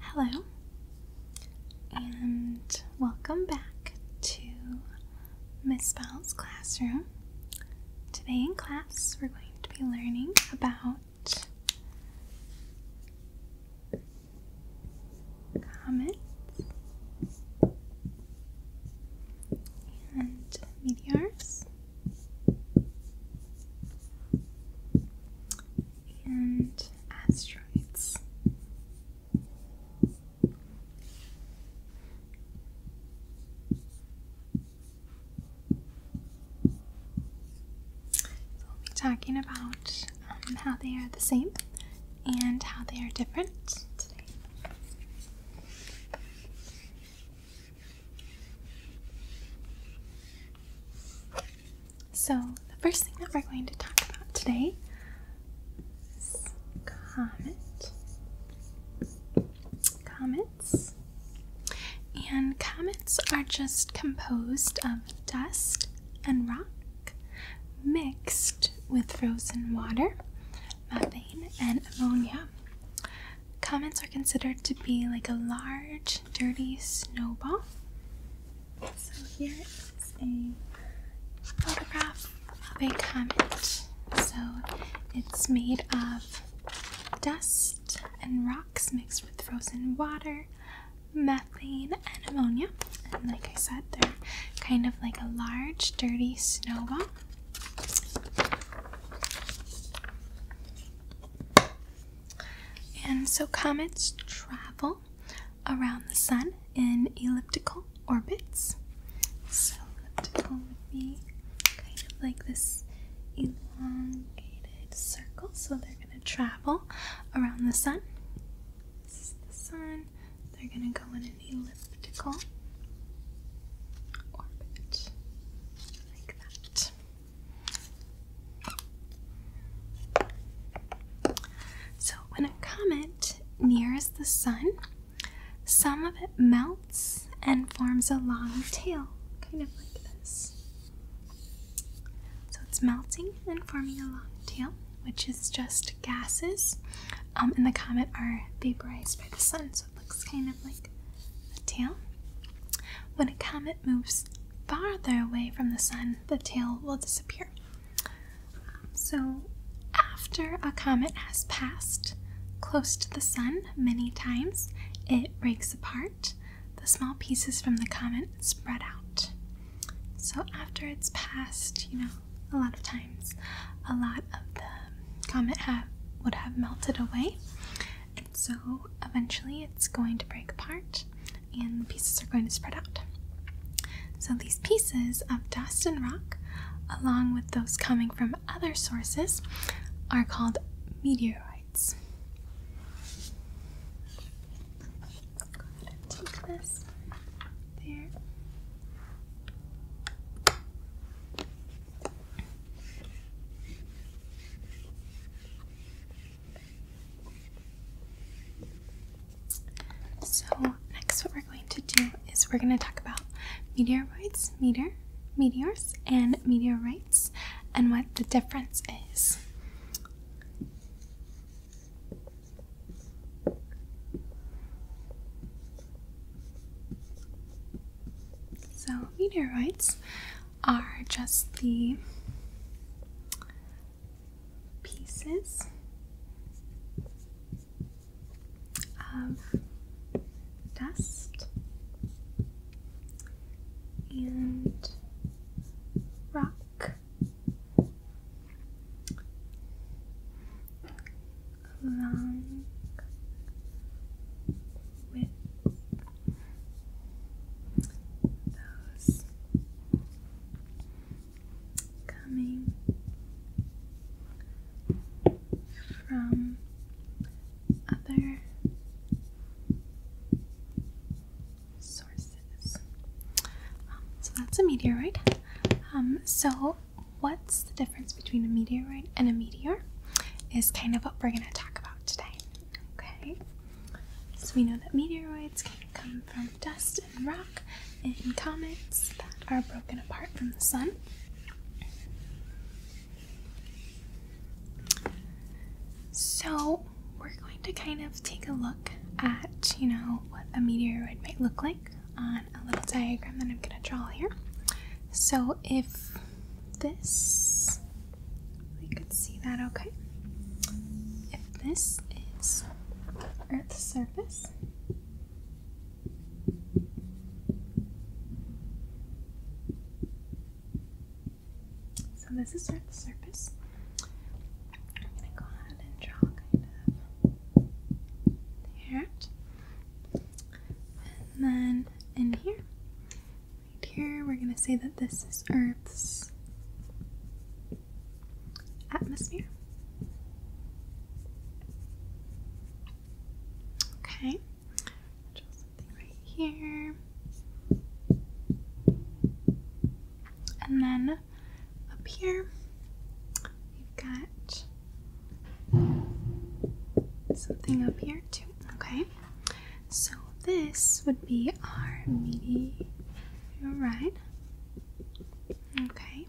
Hello, and welcome back to Miss Bell's classroom. Today in class, we're going to be learning about comets and meteors and asteroids. So we'll be talking about um, how they are the same and how they are different today. So, the first thing that we're going to talk about today is comet. Comets. And comets are just composed of dust and rock mixed with frozen water, methane, and ammonia. Comets are considered to be like a large Dirty Snowball. So here is a photograph of a comet. So it's made of dust and rocks mixed with frozen water, methane, and ammonia. And like I said, they're kind of like a large dirty snowball. And so comets travel around the sun in elliptical orbits. So elliptical would kind of like this elongated circle. So they're going to travel around the sun. This is the sun. They're going to go in an elliptical orbit like that. So, when a comet nears the sun, some of it melts and forms a long tail, kind of like this. So, it's melting and forming a long tail, which is just gases, um, and the comet are vaporized by the sun it looks kind of like a tail. When a comet moves farther away from the sun, the tail will disappear. So, after a comet has passed close to the sun many times, it breaks apart. The small pieces from the comet spread out. So, after it's passed, you know, a lot of times, a lot of the comet have, would have melted away and so eventually it's going to break apart and the pieces are going to spread out. So these pieces of dust and rock, along with those coming from other sources, are called meteorites. So, next, what we're going to do is we're going to talk about meteoroids, meteor, meteors, and meteorites, and what the difference is. So, meteorites are just the pieces of dust and rock along with those coming from other sources. Um, so that's a meteorite. Um, so what's the difference between a meteorite and a meteor is kind of what we're going to talk about today. Okay, so we know that meteoroids can come from dust and rock and comets that are broken apart from the sun. So, we're going to kind of take a look at, you know, what a meteoroid might look like on a little diagram that I'm going to draw here. So if this, you can see that okay. If this is Earth's surface, so this is Earth's surface. I'm going to go ahead and draw kind of there. And then in here, right here, we're going to say that this is Earth's atmosphere. Okay, draw something right here. And then up here, You've got something up here too. Okay. So this would be our meteorite. Okay.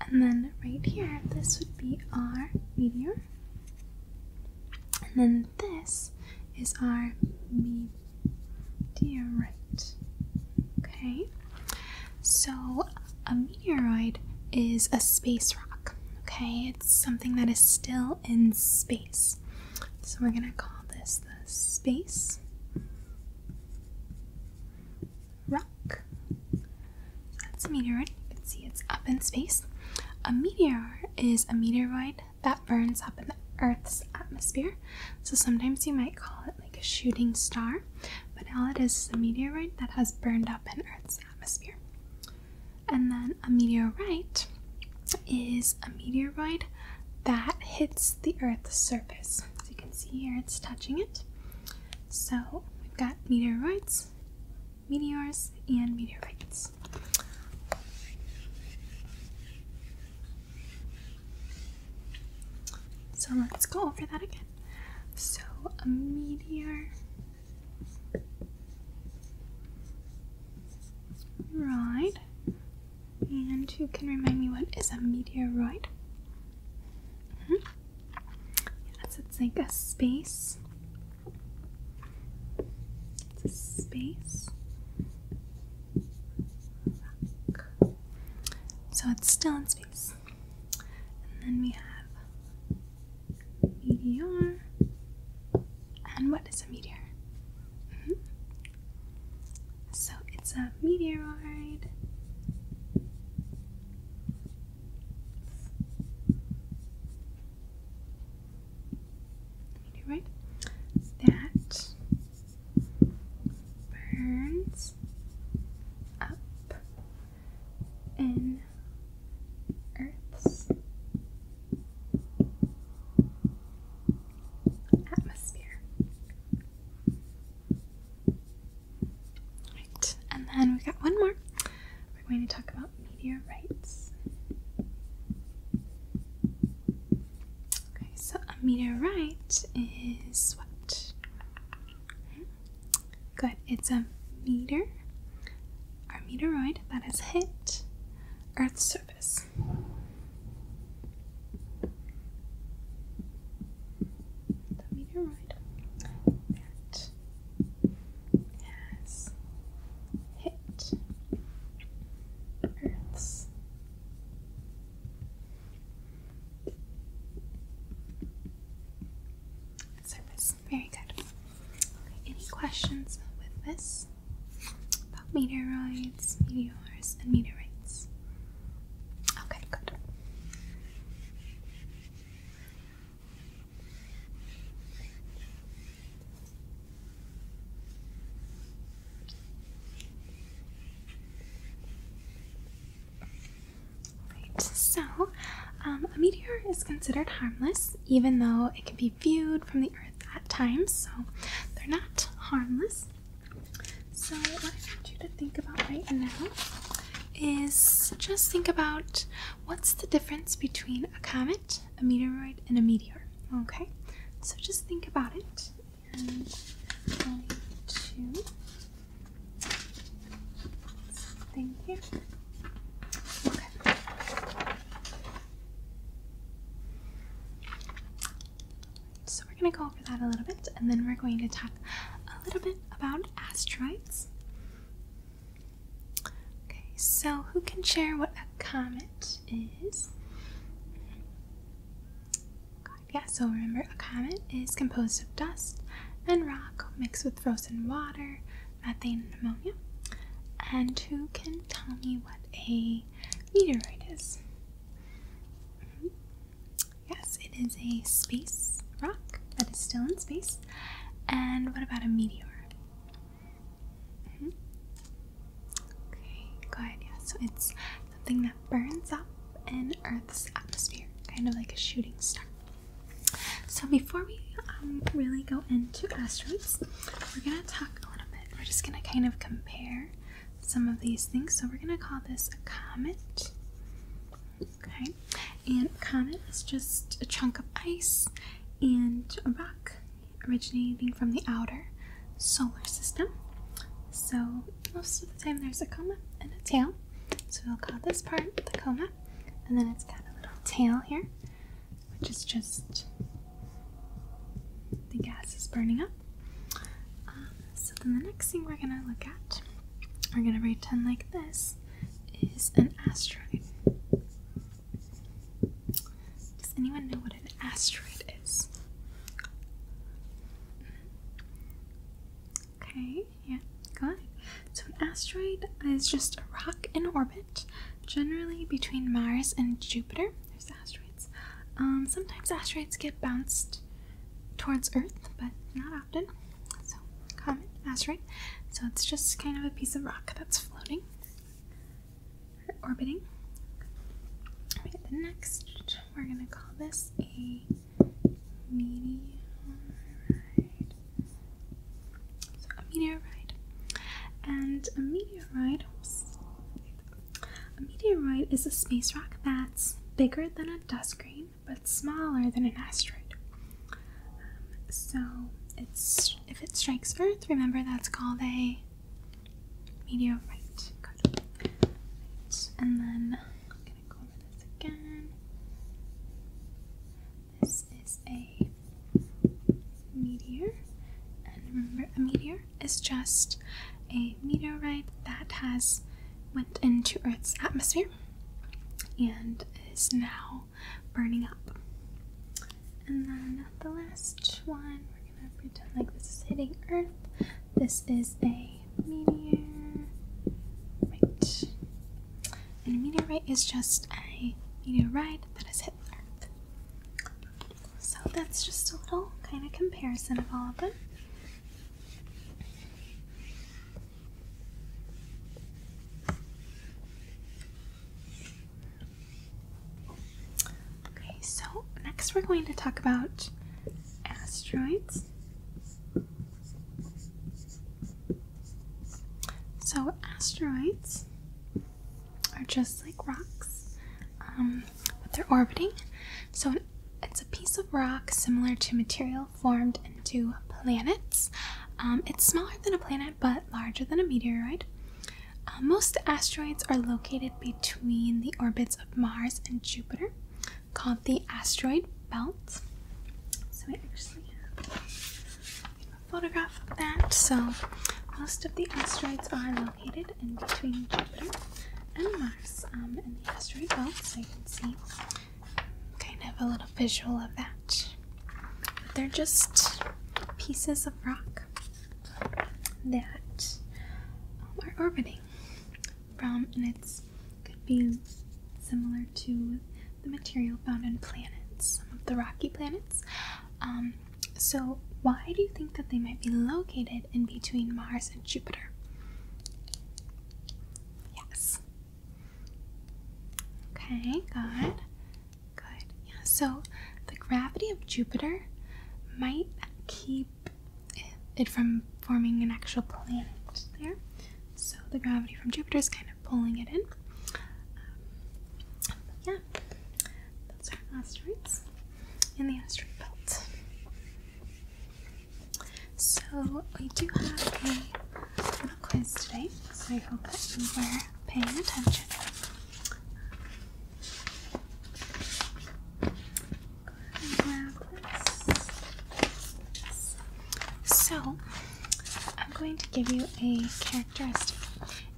And then right here, this would be our meteor. And then this is our meteorite. Okay. So, a meteoroid is a space rock, okay? It's something that is still in space. So, we're gonna call this the space rock. that's a meteoroid. You can see it's up in space. A meteor is a meteoroid that burns up in the Earth's atmosphere. So sometimes you might call it like a shooting star, but now it is a meteoroid that has burned up in Earth's atmosphere. And then a meteorite is a meteoroid that hits the Earth's surface. As you can see here, it's touching it. So we've got meteoroids, meteors, and meteorites. So let's go over that again. So a meteor right and you can remind me what is a meteoroid? Mm mm-hmm. Yes, it's like a space. It's a space. So it's still in space. And then we have meteor. And what is a meteor? Mm-hmm. So it's a meteoroid. Meteorite that burns up in Earth's atmosphere. Right, and then we've got one more. We're going to talk about meteorites. Okay, so a meteorite is what? Good. It's a meteor, Our meteoroid that has hit Earth's surface. The meteoroid that has hit Earth's Surface. Very good. any questions with this? About meteoroids, meteors, and meteorites? Okay, good. Right, so um, a meteor is considered harmless, even though it can be viewed from the Earth at times, so they're not harmless. So, what I want you to think about right now is just think about what's the difference between a comet, a meteoroid, and a meteor. Okay, so just think about it and twenty-two. Thank you. Okay. So we're gonna go over that a little bit, and then we're going to talk a little bit about asteroids. Okay, so who can share what a comet is? Yeah, so remember a comet is composed of dust and rock mixed with frozen water, methane, and ammonia. And who can tell me what a meteorite is? Mm-hmm. Yes, it is a space rock that is still in space. And what about a meteor? Mm-hmm. Okay, go ahead. Yeah, so it's something that burns up in Earth's atmosphere, kind of like a shooting star. So, before we um, really go into asteroids, we're going to talk a little bit. We're just going to kind of compare some of these things. So, we're going to call this a comet. Okay, and a comet is just a chunk of ice and a rock originating from the outer solar system. So, most of the time there's a coma and a tail. So we'll call this part the coma, and then it's got a little tail here, which is just the gas is burning up. Um, so then the next thing we're gonna look at, we're gonna pretend like this is an asteroid. Does anyone know what an asteroid is? Okay, yeah, good. So, an asteroid is just a rock in orbit, generally between Mars and Jupiter. There's asteroids. Um, sometimes asteroids get bounced towards Earth, but not often. So, comet, asteroid. So, it's just kind of a piece of rock that's floating orbiting. next, we're going to call this a meteorite. So, a meteorite. And a meteorite, a meteorite is a space rock that's bigger than a dust grain but smaller than an asteroid. Um, so, if it strikes Earth, remember that's called a Medium And then I'm gonna go this again. This is a meteor. And remember a meteor is just a meteorite that has went into Earth's atmosphere and is now burning up. And then the last one we're we pretend like this is hitting Earth. This is a meteorite. And meteorite is just a meteorite that has hit Earth. So that's just a little kind of comparison of all of them. Okay, so next we're going to talk about asteroids. So, asteroids are just like rocks, um, but they're orbiting. So, it's a piece of rock similar to material formed into planets. Um, it's smaller than a planet but larger than a meteorite. Uh, most asteroids are located between the orbits of Mars and Jupiter, called the asteroid belt. So, we actually have a photograph of that. So, most of the asteroids are located in between Jupiter and Mars um, in the asteroid belt, so you can see kind of a little visual of that. But they're just pieces of rock that are orbiting from, and it's could be similar to the material found in planets, some of the rocky planets. Um, so, why do you think that they might be located in between Mars and Jupiter? Yes. Okay, good. Good. Yeah, so the gravity of Jupiter might keep it from forming an actual planet there. So the gravity from Jupiter is kind of pulling it in. Um, yeah, that's our asteroids in the asteroid belt. So we do have a little quiz today, so I hope that you were paying attention. So, I'm going to give you a characteristic,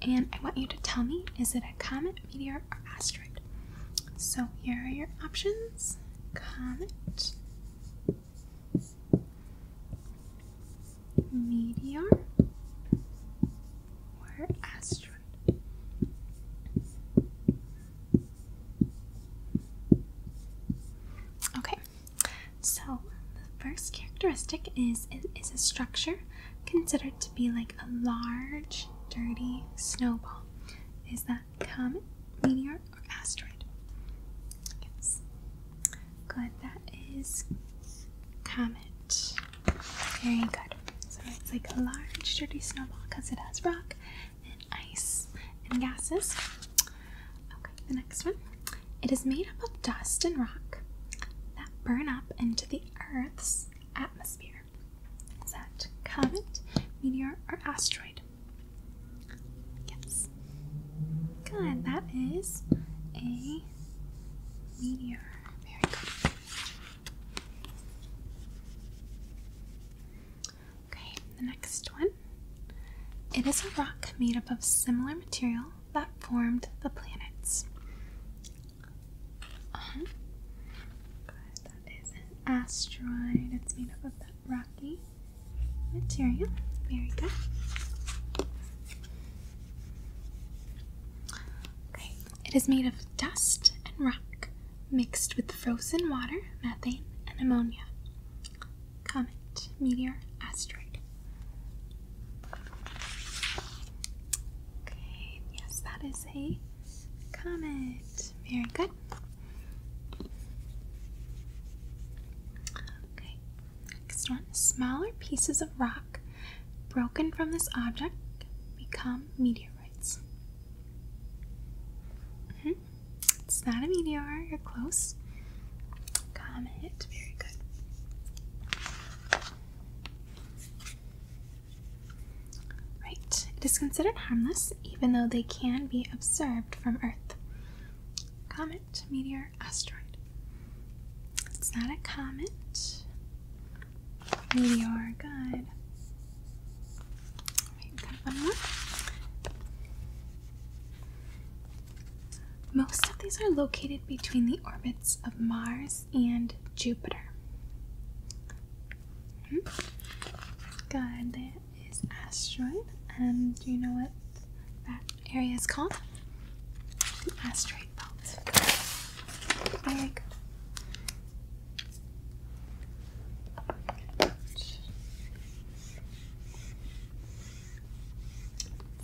and I want you to tell me is it a comet, meteor, or asteroid? So, here are your options comet, meteor or asteroid? Okay, so the first characteristic is it is a structure considered to be like a large, dirty snowball. Is that comet, meteor, or asteroid? Yes. Good, that is comet. Very good. So it's like a large dirty snowball because it has rock and ice and gases. Okay, the next one. It is made up of dust and rock that burn up into the Earth's atmosphere. Is that comet, meteor, or asteroid? Yes. Good. That is a meteor. Okay, the next one. It is a rock made up of similar material that formed the planets. Uh -huh. that is an asteroid. It's made up of rocky material. Very good. Okay. It is made of dust and rock mixed with frozen water, methane, and ammonia. Comet, meteor, asteroid. Okay, yes, that is a comet. Very good. Okay, Next smaller pieces of rock broken from this object become meteorites. Mm-hmm. It's not a meteor, you're close. Comet, very good. Right, it is considered harmless even though they can be observed from Earth. Comet, meteor, asteroid. It's not a comet. Meteor, good. Wait, got one Most of these are located between the orbits of Mars and Jupiter. Mm -hmm. Good, that is asteroid. And do you know what that area is called asteroid belt.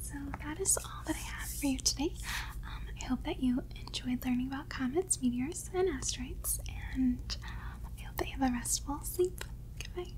So that is all that I have for you today. Um, I hope that you enjoyed learning about comets, meteors, and asteroids, and um, I hope that you have a restful sleep. Goodbye.